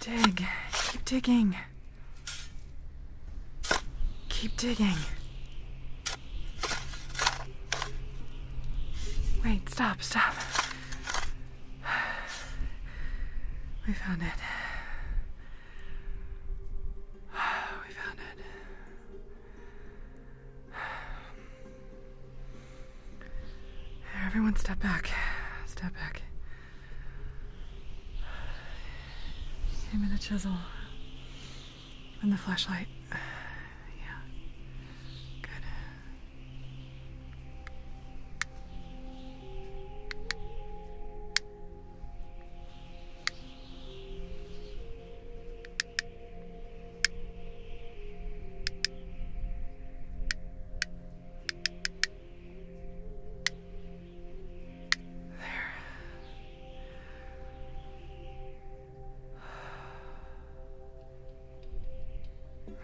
Dig. Keep digging. Keep digging. Wait, stop, stop. We found it. We found it. Everyone step back. Step back. Give me the chisel and the flashlight. Yeah. Good.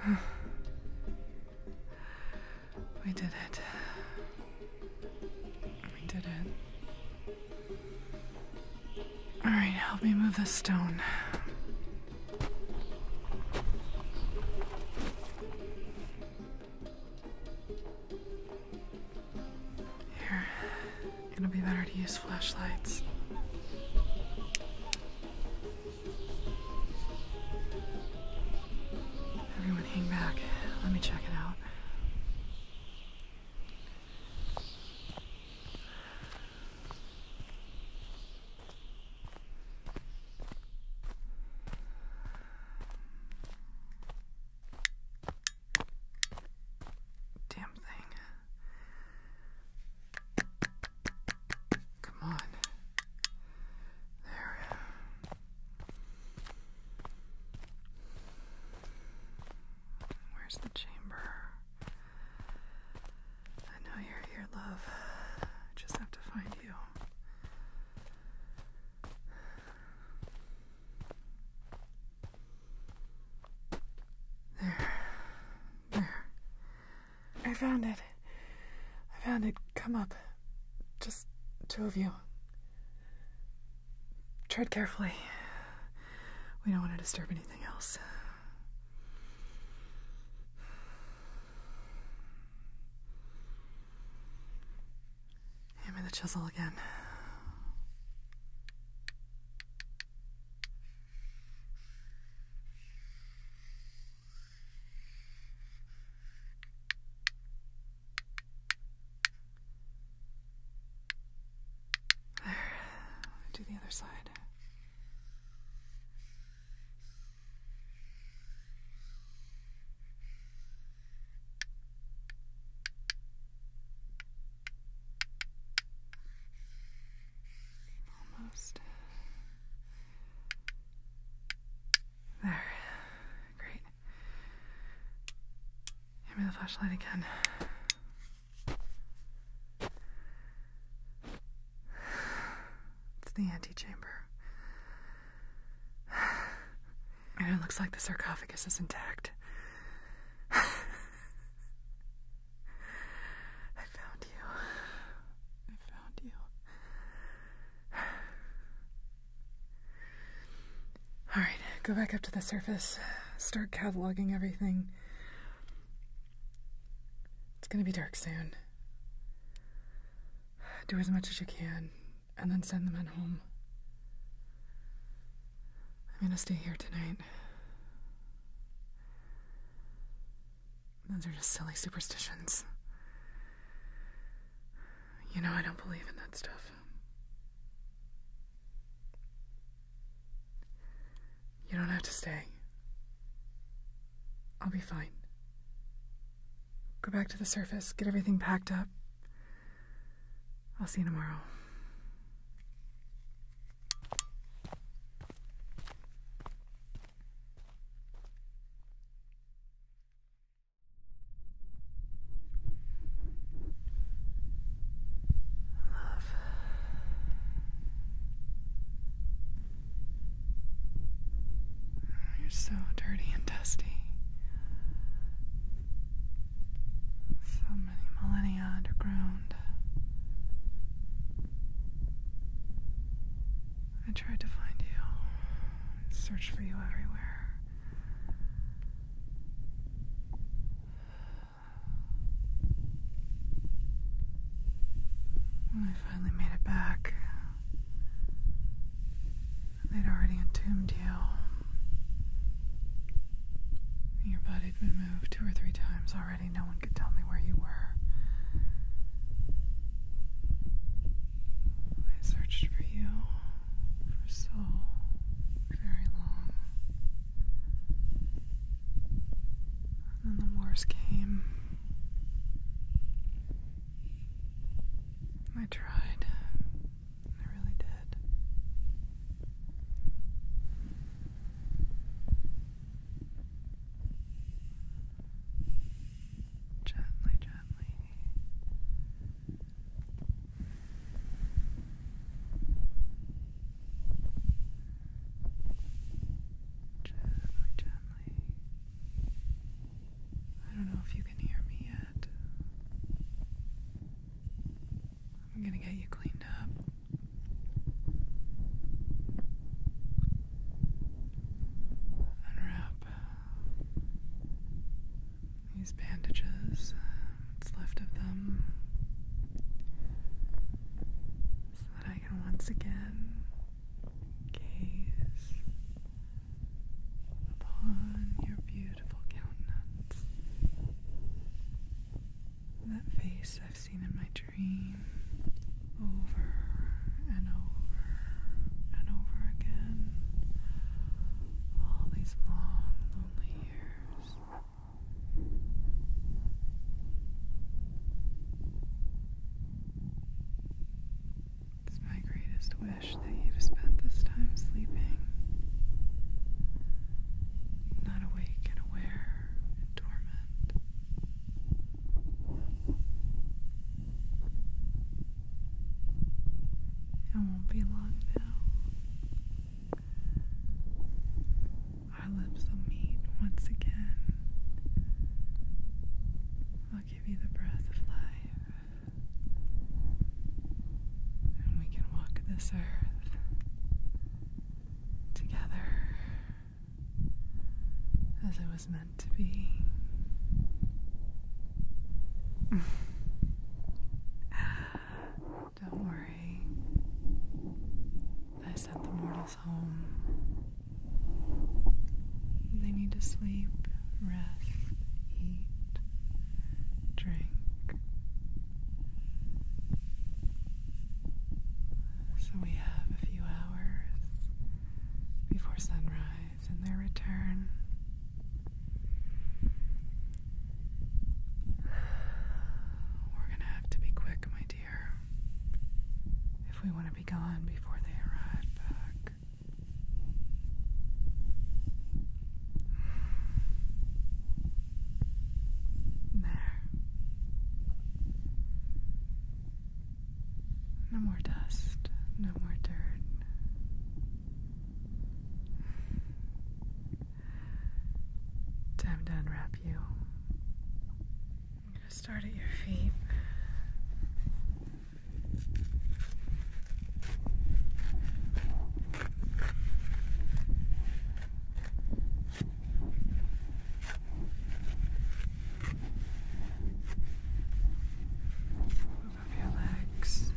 There. We did it. We did it. All right, help me move this stone. It'll be better to use flashlights. Everyone, hang back. Let me check it out. Damn thing. Come on. There. Where's the chamber? I know you're here, love. I just have to find you. There. There. I found it. I found it. Come up. Just two of you. Tread carefully. We don't want to disturb anything else. Hand me the chisel again. There. Do the other side. Almost there. Great. Give me the flashlight again. It's the antechamber. And it looks like the sarcophagus is intact. I found you. I found you. All right, go back up to the surface. Start cataloging everything. It's gonna be dark soon do as much as you can, and then send the men home. I'm gonna stay here tonight. Those are just silly superstitions. You know, I don't believe in that stuff. You don't have to stay. I'll be fine. Go back to the surface, get everything packed up. I'll see you tomorrow. You're so dirty and dusty. So many millennia underground. I tried to find you. I searched for you everywhere. I finally made it back, They'd already entombed you. Your body had been moved two or three times already. No one could tell me where you were. I searched for you for so very long. And then the wars came. I tried. I really did. Gently, gently. Gently, gently. I don't know if you can hear me yet. I'm gonna get you cleaned up. Unwrap these bandages, what's left of them, so that I can once again Gaze upon your beautiful countenance. That face I've seen in my dream over and over and over again. All these long, lonely years. It's my greatest wish that you've spent this time sleeping, not awake and aware and dormant. It won't be long now. Our lips will meet once again. I'll give you the breath of life. And we can walk this earth together as it was meant to be. Don't worry. I sent the mortals home. They need to sleep, rest, eat, drink. So we have a few hours before sunrise and their return. We're going to have to be quick, my dear, if we want to gone before they arrive back. There. No more dust, no more dirt. Time to unwrap you. I'm going to start at your feet. Move up your legs.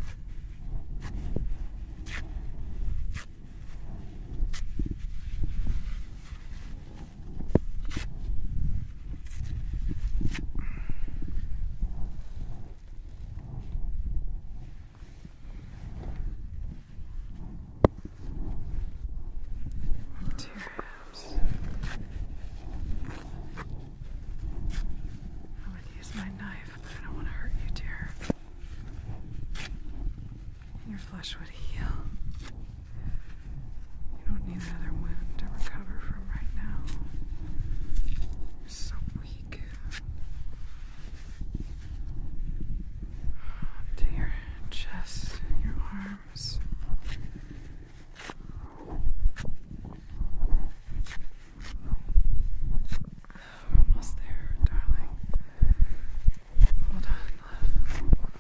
Two ribs. I would use my knife, but I don't want to hurt you, dear. Your flesh would heal. You don't need another wound to recover from right now. You're so weak. To chest your arms. We're almost there, darling. Hold on,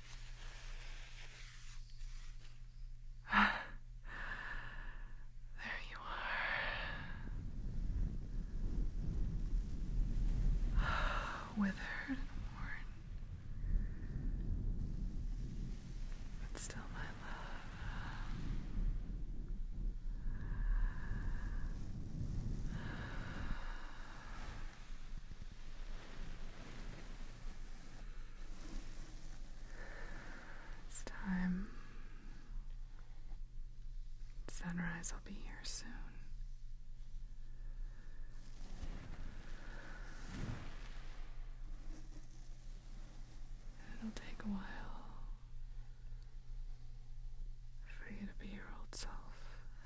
there you are. Withered and worn. But still my love. It's time. Sunrise will be here soon. It'll take a while for you to be your old self.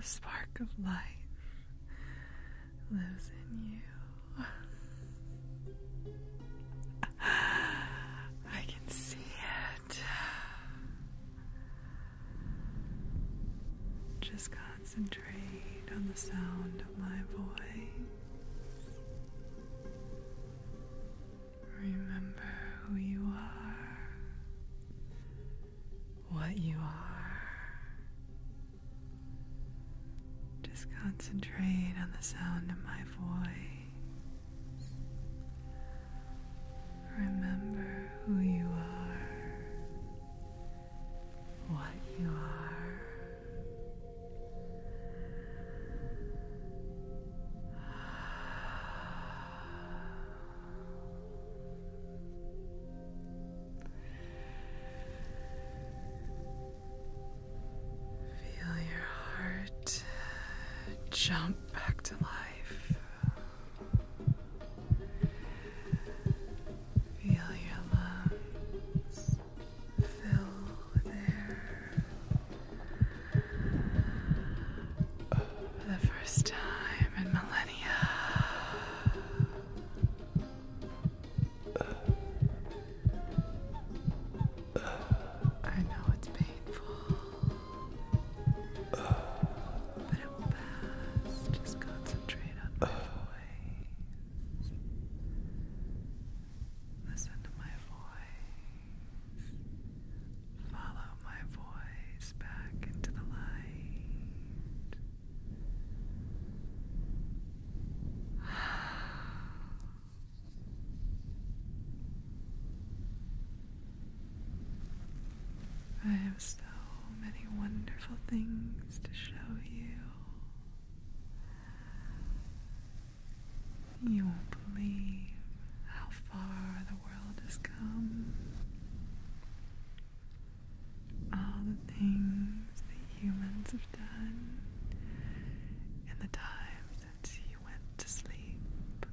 A spark of life lives in you. I can see it. Just concentrate on the sound of my voice. Remember who you are, what you are, just concentrate on the sound of my voice. Remember who you are, what you are. Feel your heart jump back to life. Feel your lungs fill with air. For the first time in millennia, I know it's painful, but it will pass. Just concentrate on my voice. Listen to my voice. Follow my voice back into the light. I have so many wonderful things to show you. You won't believe how far the world has come all the things that humans have done in the time since he went to sleep.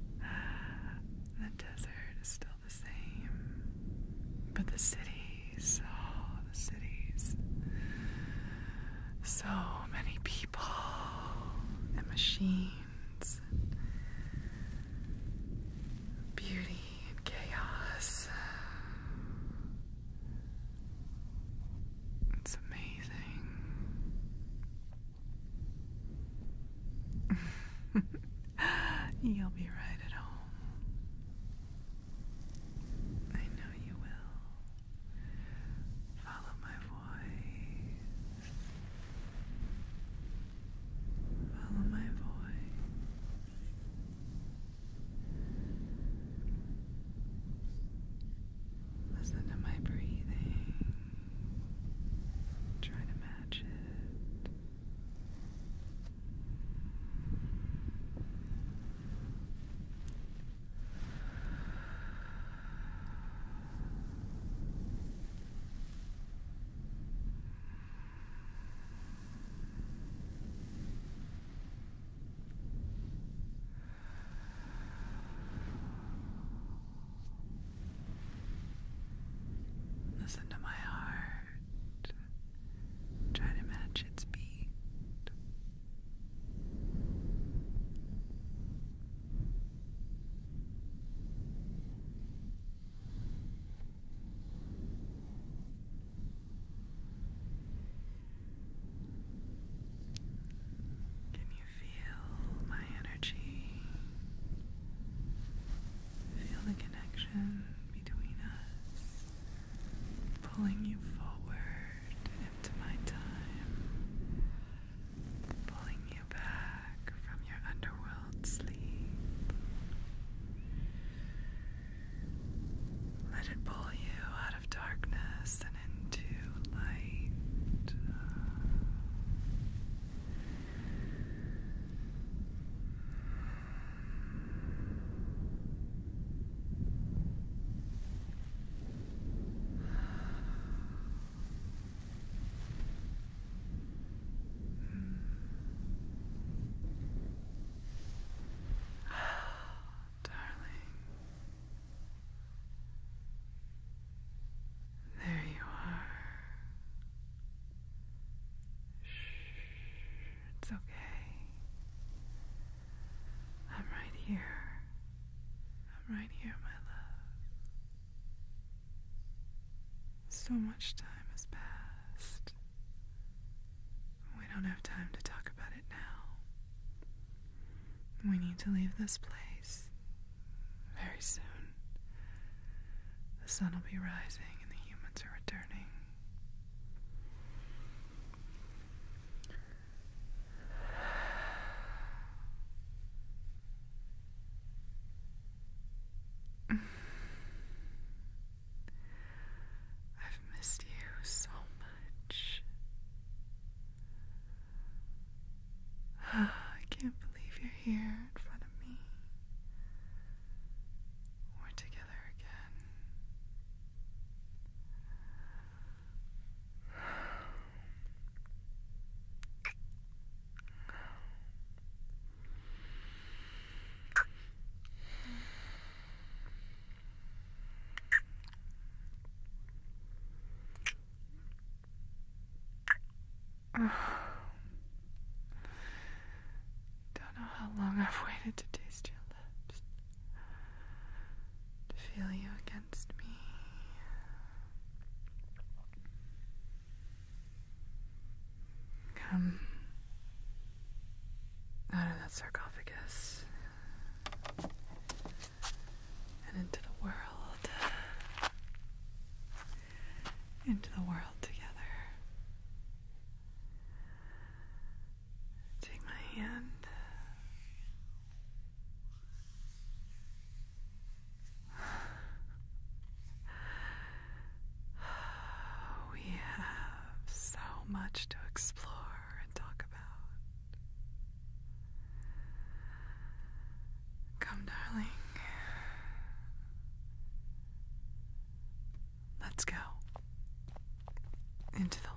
the desert is still the same, but the cities, oh, the cities. So many people and machines beauty and chaos. It's amazing. You'll be right at home. I know you will. Follow my voice. Follow my voice. Listen to my breathing. Try to match it. Listen to my heart. Try to match its beat. Can you feel my energy? Feel the connection between us, pulling you forward into my time pulling you back from your underworld sleep. Let it pull you out of darkness and into light. Darling, there you are. Shh, it's okay. I'm right here. I'm right here, my love. So much time has passed. We don't have time to talk about it now. We need to leave this place very soon. The sun will be rising and the humans are returning. I've missed you so much. I can't believe you're here in front of me. We're together again. Don't know how long I've waited to taste your lips, to feel you again. Come out of that sarcophagus and into the world. Into the world together. Take my hand. We have so much to explore and talk about. Come, darling. Let's go into the light.